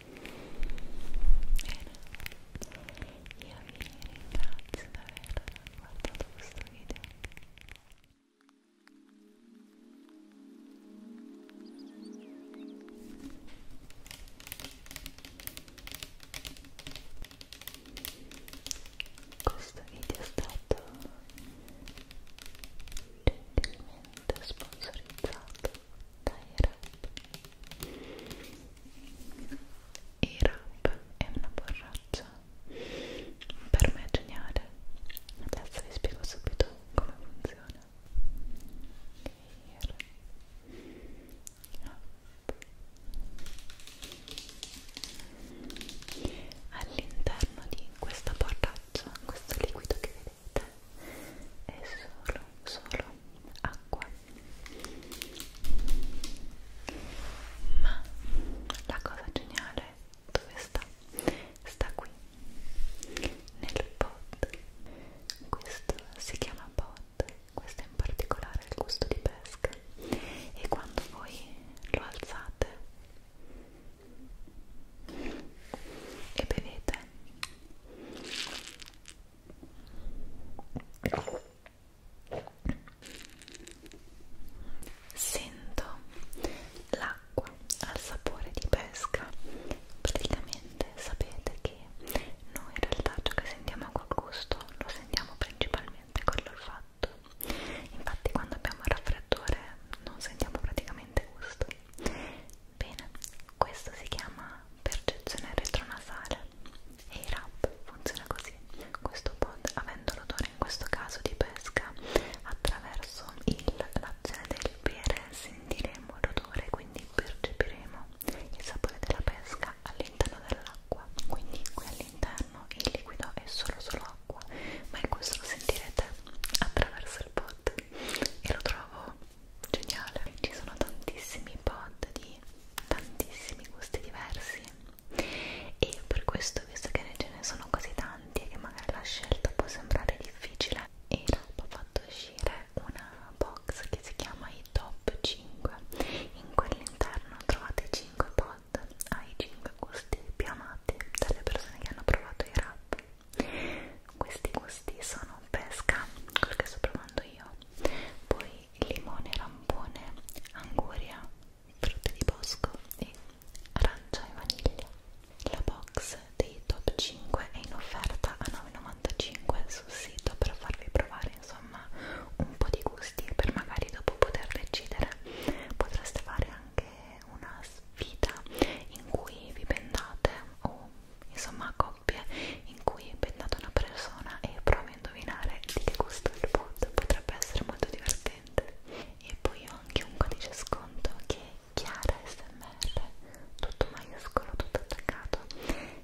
Bene, io vi ringrazio per aver guardato questo video. Questo video è stato gentilmente sponsorizzato i rap è una borraccia per me è geniale adesso vi spiego subito come funziona Air. All'interno di questa borraccia, questo liquido che sapete è solo, solo acqua ma la cosa geniale dove sta? sta qui nel pod questo si chiama pod questo è in particolare il gusto di pesca e quando voi lo alzate e bevete Sento l'acqua al sapore di pesca. Praticamente sapete che noi in realtà ciò che sentiamo col gusto lo sentiamo principalmente con l'olfatto. Infatti quando abbiamo il raffreddore non sentiamo praticamente gusto Bene, questo si chiama percezione retronasale e il rap funziona così. Questo pod, avendo l'odore in questo caso di pesca, attraverso l'azione del bere sentiremo l'odore, quindi percepiremo il sapore della pesca all'interno dell'acqua. Quindi qui all'interno il liquido è solo solo acqua, ma questo lo sentirete attraverso il pod e lo trovo geniale ci sono tantissimi pod di tantissimi gusti diversi e per questo visto che ce ne sono così tanti e che magari la scelta può sembrare difficile e ho fatto uscire una box che si chiama i top 5 in quell'interno trovate 5 pod ai 5 gusti più amati dalle persone che hanno provato i rap questi gusti sono pesca, quello che sto provando io poi limone, rampone, anguria, frutti di bosco e arancia e vaniglia la box dei top 5 è in offerta a 9,95 sul sito per farvi provare insomma un po' di gusti e per magari dopo poter decidere potreste fare anche una sfida in cui vi vendate o insomma coppie in cui è pennato una persona e provi a indovinare di che gusto è il pot potrebbe essere molto divertente e poi ho anche un codice sconto che è Chiara SMR tutto maiuscolo, tutto attaccato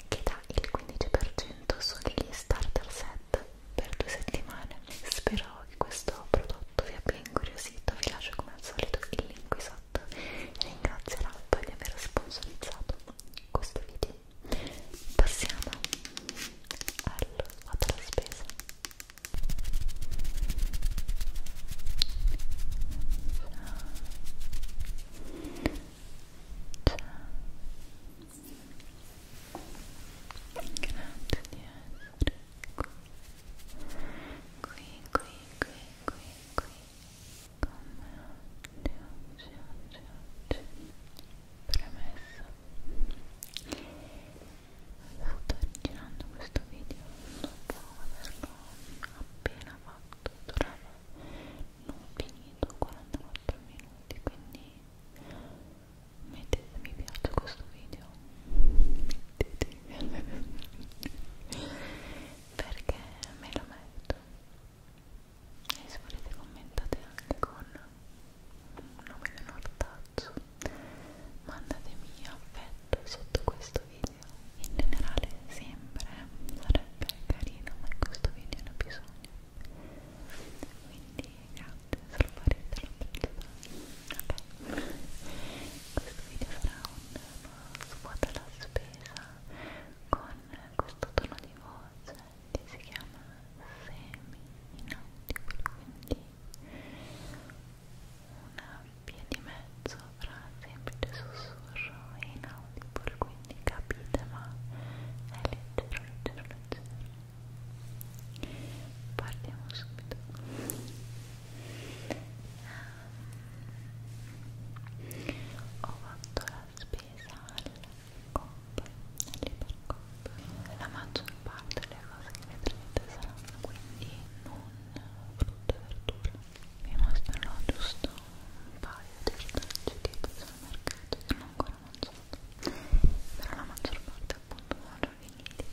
che dà il 15% sugli starter set per due settimane spero che questo prodotto vi abbia incuriosito sito, vi lascio come al solito il link qui sotto ringrazio l'app di aver sponsorizzato questo video passiamo al vado alla spesa ciao ciao grazie di essere qui qui qui qui qui qui come oggi, oggi, oggi, oggi premessa sto girando questo video dopo averlo appena fatto durava non finito 44 minuti quindi mettete mi piace questo video mettete mi piace perché me lo metto e se volete commentate anche con un nome di un ortazzo mandatemi affetto sotto questo video in generale sempre sarebbe carino ma in questo video ne ho bisogno quindi grazie se lo farete lo apprezzate ok questo video sarà un svuota la spesa con questo tono di voce che si chiama semi inaudibile quindi una via di mezzo fra semplice sussurro e inaudibile quindi capite ma è leggero, leggero, leggero partiamo subito ho fatto la spesa al COP, all'ipercop la maggior parte delle cose che vedrete saranno quindi non frutta e verdura vi mostrerò giusto un paio di ortaggi che sono al mercato che non ho ancora mangiato però la maggior parte appunto non ho già finiti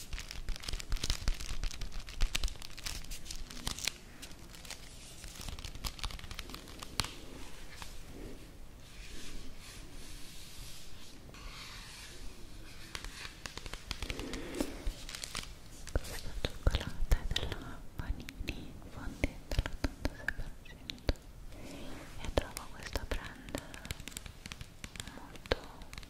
Questa cioccolata è della Panini, fondente all'86% e trovo questa brand molto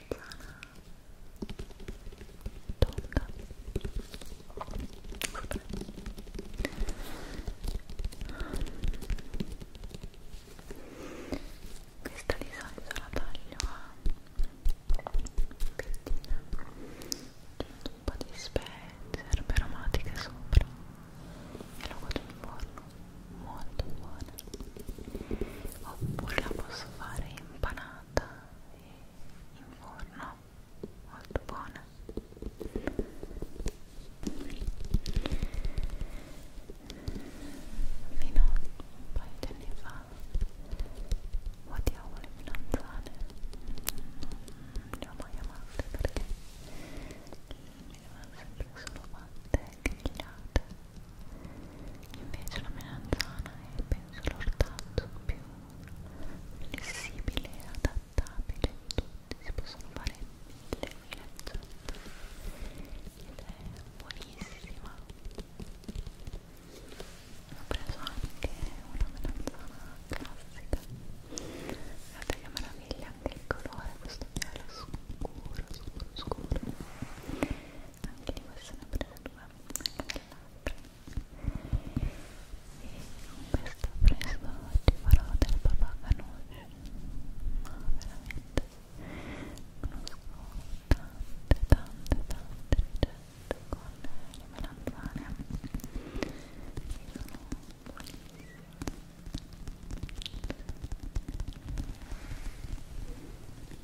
melanzana tonda Vabbè. questa di solito la taglio a pettine un po' di spezie erbe aromatiche sopra e lo godo in forno molto buona oppure la posso fare impanata in forno molto buona fino a un paio di anni fa odiavo le melanzane non le ho mai amate perché mi erano sempre solo fatte grigliate invece la melanzana è penso l'ortazzo più flessibile e adattabile di tutti si possono fare mille mille ricette ed è buonissima ho preso anche una melanzana classica guardate che meraviglia anche il colore questo piano scuro scuro scuro anche di questo ne ho presa due anche dell'altra e con questo presto ti farò del papà canuccio ma veramente conosco tante tante tante ricette con le melanzane che sono buonissime e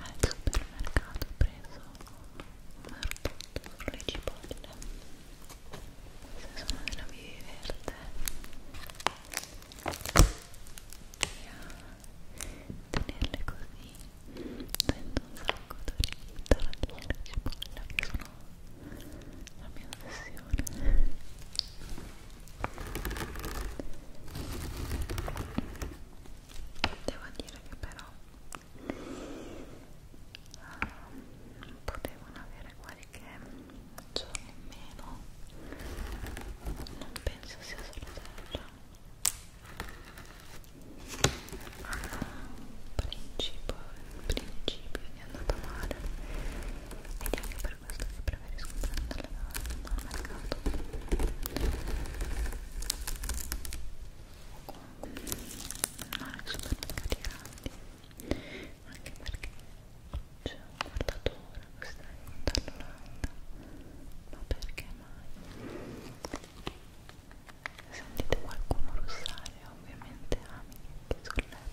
al supermercato ho preso un marcotto sulle cipolle queste sono della vivi verde e a tenerle così sento un sacco d'orito della cipolla che sono la mia ossessione devo dire che però um, ehm, potevano avere qualche giorno in meno non penso sia sorella hanno un ah, principio, un principio di andata male ed è anche per questo che preferisco prenderle dal mercato o comunque non ai supermercati grandi anche perché c'è un guardatore che sta dall'Olanda ma perché mai? sentite qualcuno russare ovviamente amici sul letto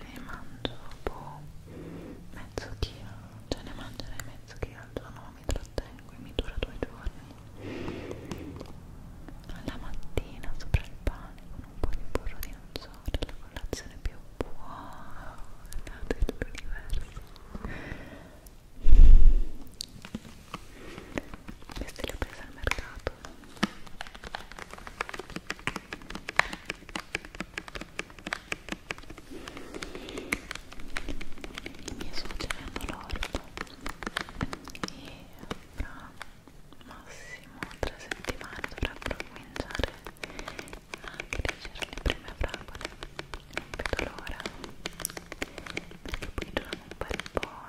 ne mangio boh, mezzo chilo cioè ne mangerei mezzo chilo al giorno mi trattengo e mi dura due giorni alla mattina sopra il pane con un po' di burro di nocciola la colazione più buona dell'universo queste le ho prese al mercato i miei suoceri hanno l'orto e fra massimo tre settimane dovrebbero cominciare a crescere le prime fragole non vedo l'ora perché poi durano un bel po'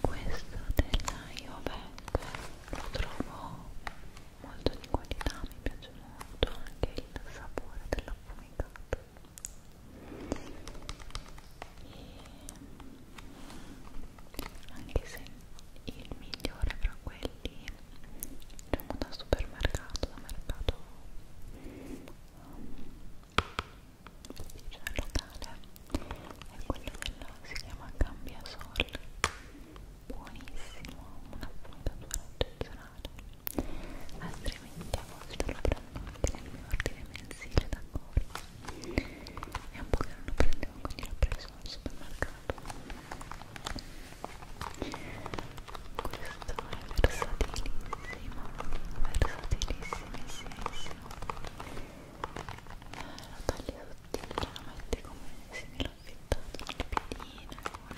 questo della Iovac lo trovo molto di qualità mi piace molto anche il sapore dell'affumicato e anche se il migliore fra quelli diciamo da supermercato da mercato um, cioè locale è quello della, si chiama Cambia Sol buonissimo, una puntatura eccezionale altrimenti a volte lo prendo anche nel mio ordine mensile da corso è un po' che non lo prendevo quindi l'ho preso al supermercato questo è versatilissimo versatilissimo, sì, sì la taglia sottile la metti come se mi l'ho affittato nel piedino con cipolle,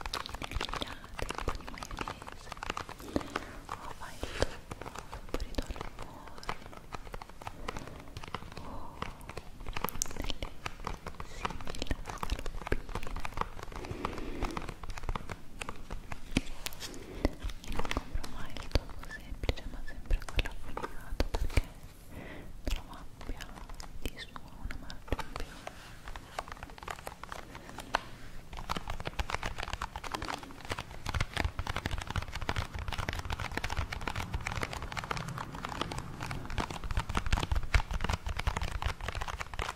zucchine grigliate, un po' di maionese o fai il tuo saporito al forno o delle simili scaloppine non compro mai il tocco semplice ma sempre quello affilato perché trovo abbia di suo una marca in più Ecco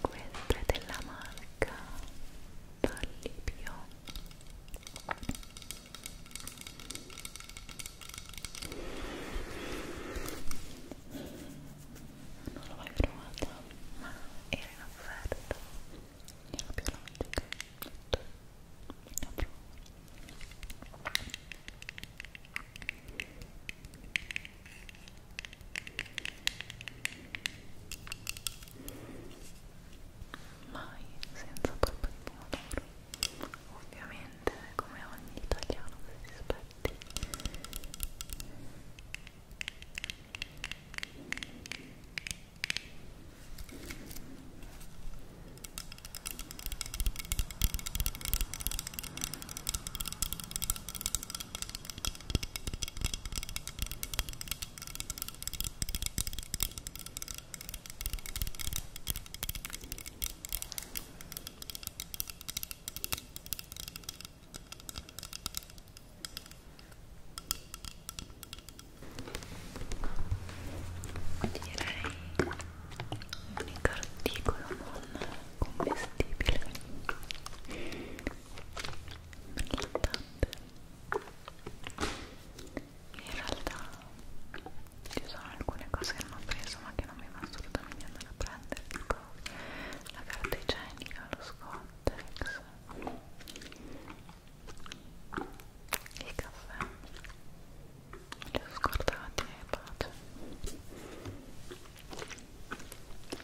questa è della marca Vallipio non l'ho mai provata ma era in offerta era più la magica la provo mai senza colpa di pomodoro ovviamente come ogni italiano che si rispetti direi un unico articolo non commestibile rilassante in realtà ci sono alcune cose che non ho preso ma che non mi va assolutamente andare a prendere tipo la carta igienica, lo scottex il caffè li ho scordati e pace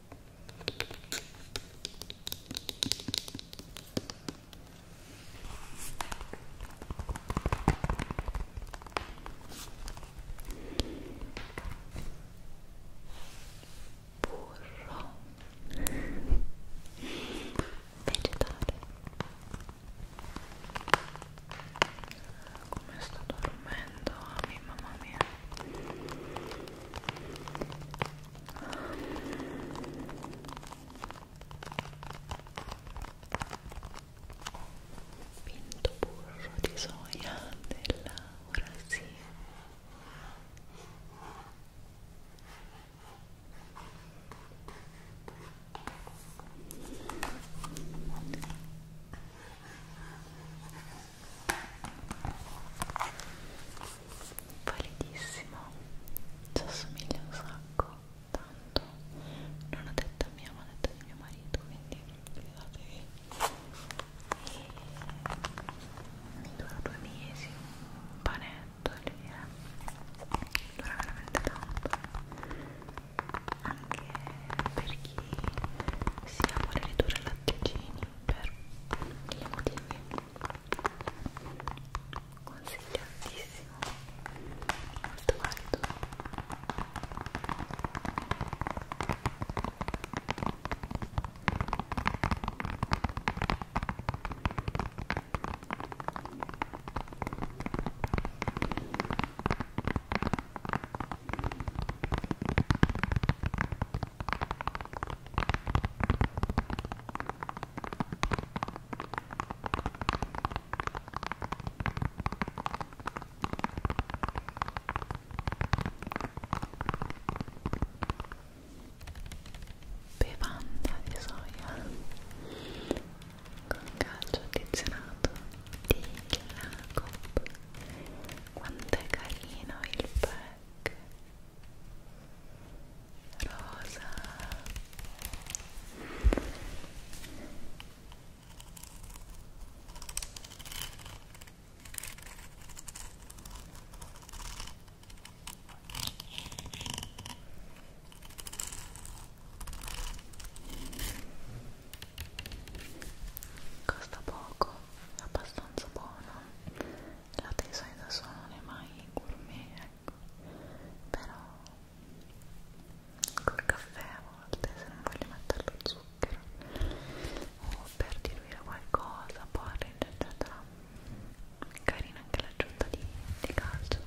burro vegetale come sto dormendo a ah, mia mamma mia Pinto burro soya de la Brasil validissimo ci assomiglia un sacco tanto non ho detto a mia ma ho detto di mio marito quindi fidatevi e mi dura due mesi un panetto e eh. via dura veramente tanto anche per chi si vuole ridurre latticini per mille motivi consigliatissimo molto valido bevanda di soia con calcio addizionato di Jacob quanto è carino il pezzo pink rosa costa poco è abbastanza buono la tesai da sola non è mai gourmet, ecco, però col caffè a volte se non voglio mettere lo zucchero o per diluire qualcosa, porridge eccetera carina anche l'aggiunta di, di calcio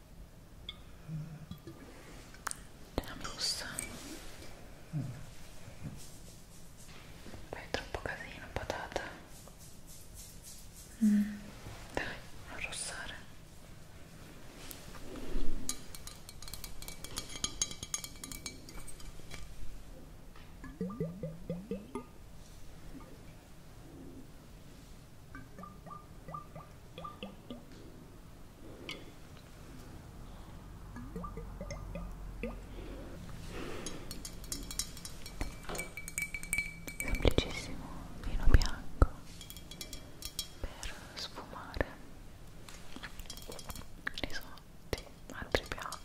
della mousse poi è troppo casino patata mm. dai non rossare Semplicissimo vino bianco per sfumare risotti, altri piatti.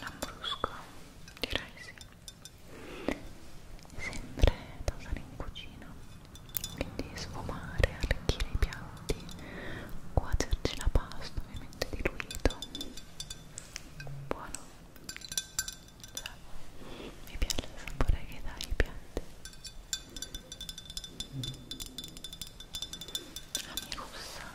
Lambrusco, direi sì. Sempre da usare in cucina, quindi sfumare, arricchire i piatti, cuocerci la pasta ovviamente diluito buono cioè, mi piace il sapore che dà alle piante la mia rossa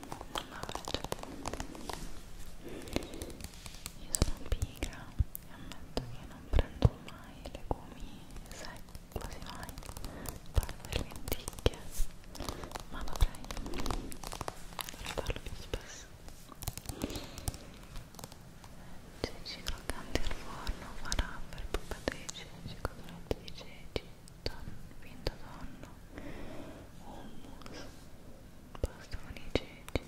io sono pigra e ammetto che non prendo mai legumi secchi, quasi mai parte le lenticchie ma dovrei dovrei farlo più spesso ceci croccanti al forno, farà per puppateci, ceci cotolette di ceci finto tonno, hummus, pasta con i ceci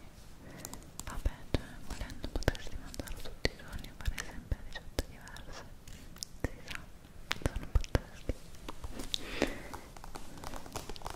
vabbè, cioè, volendo potersi mangiarlo tutti i giorni e fare sempre ricette diverse si sa, sono pazzeschi bellissima il topping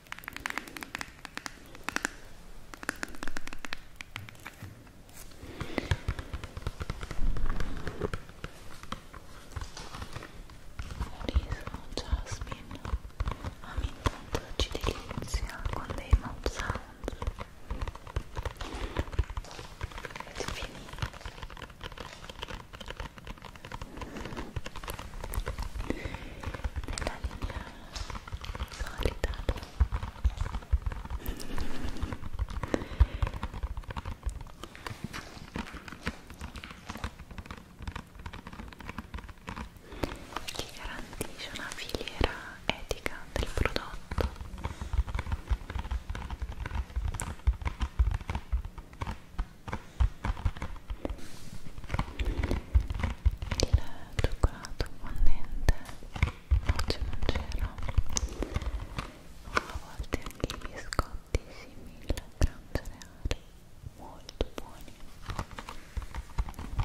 Jasmine a me intanto ci delizia con dei mouth sound ed finito nella linea solita che garantisce una filiera etica del prodotto il cioccolato fondente oggi non c'era a volte anche i biscotti simili al gran cereale molto buoni Ecco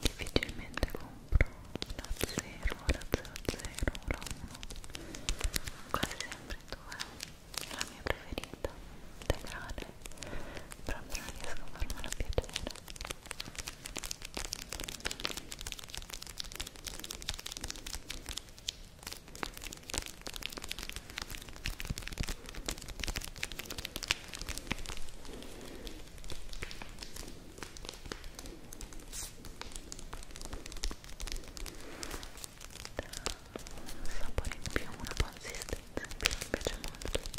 difficilmente compro la 0, la 00, la 1 quasi sempre 2 è la mia preferita integrale proprio non riesco a farmela piacere un sapore in più, una consistenza in più, mi piace molto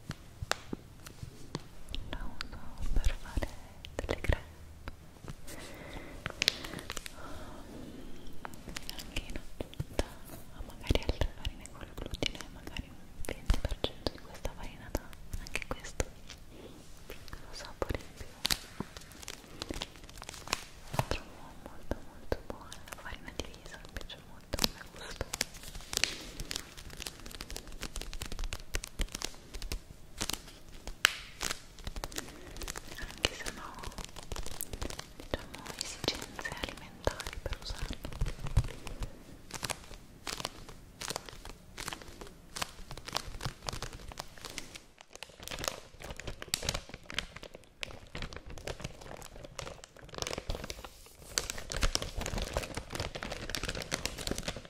la uso per fare delle crepe anche in aggiunta magari altre farine col glutine magari un 20% di questa farina dà anche questo piccolo sapore in più la trovo molto molto buona la farina di riso mi piace molto come gusto anche se no diciamo esigenze alimentari per usarlo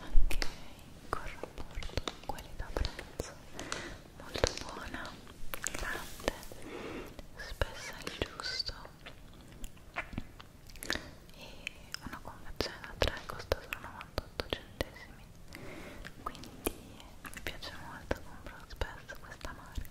anche con rapporto qualità prezzo molto buona grande spessa il giusto e una confezione da 3 costa solo 98 centesimi quindi mi piace molto compro spesso questa marca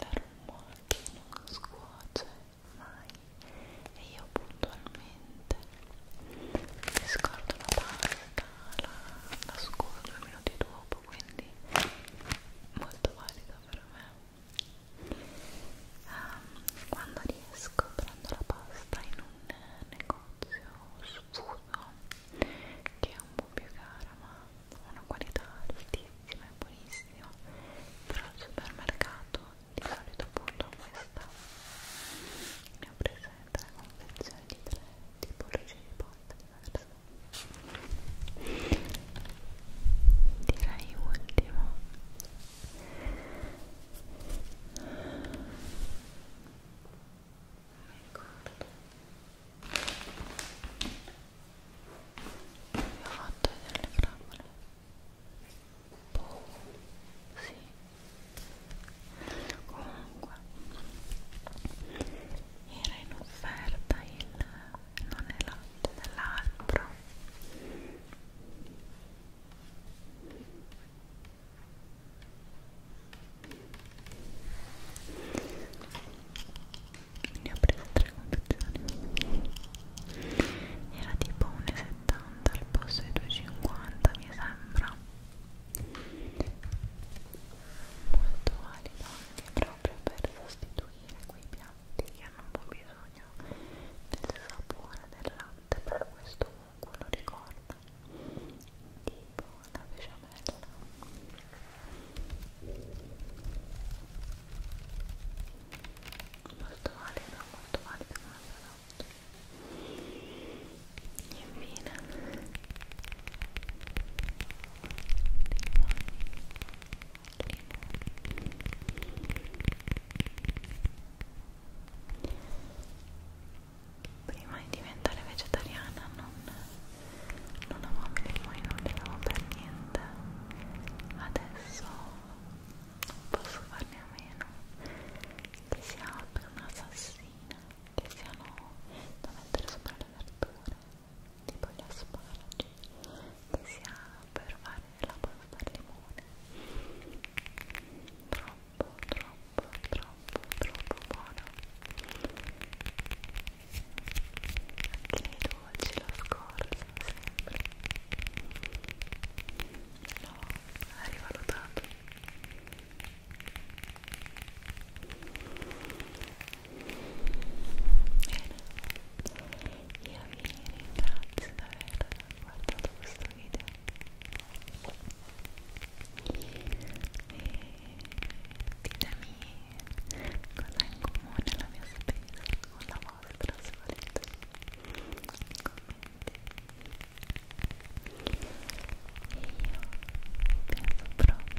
l'aromata non scuoce mai e io puntualmente mi scordo la pasta la, la scuola due minuti dopo quindi molto valida per me um, quando riesco prendo la pasta in un negozio su struzzoso che è un po' più cara ma ha una qualità altissima e buonissima però al supermercato di solito appunto questa ne ho presa tre confezioni di tre tipo ricci di porta diverse direi ultimo non mi ricordo vi ho fatto vedere le fragole boh, sì comunque era in offerta il non è latte dell'albero ne ho prese tre confezioni era tipo 1,70 al posto di 2,50 mi sembra molto valido anche proprio per sostituire quei piatti che hanno un po' bisogno del sapore del latte per questo comunque lo ricorda tipo la besciamella molto valida, molto valida infine limone prima di diventare vegetariana non, non amavo i limoni, non li amavo per niente adesso posso farne a meno che sia per un'assassina che siano da mettere sopra le verdure tipo gli asparagi che sia per fare la pasta al limone però troppo, troppo, troppo, troppo buono anche nei dolci lo scorso sempre no, l'ha rivalutato bene io vi ringrazio per aver guardato questo video ditemi cosa ha in comune la mia spesa con la vostra se volete nei commenti e io penso proprio penso proprio penso proprio che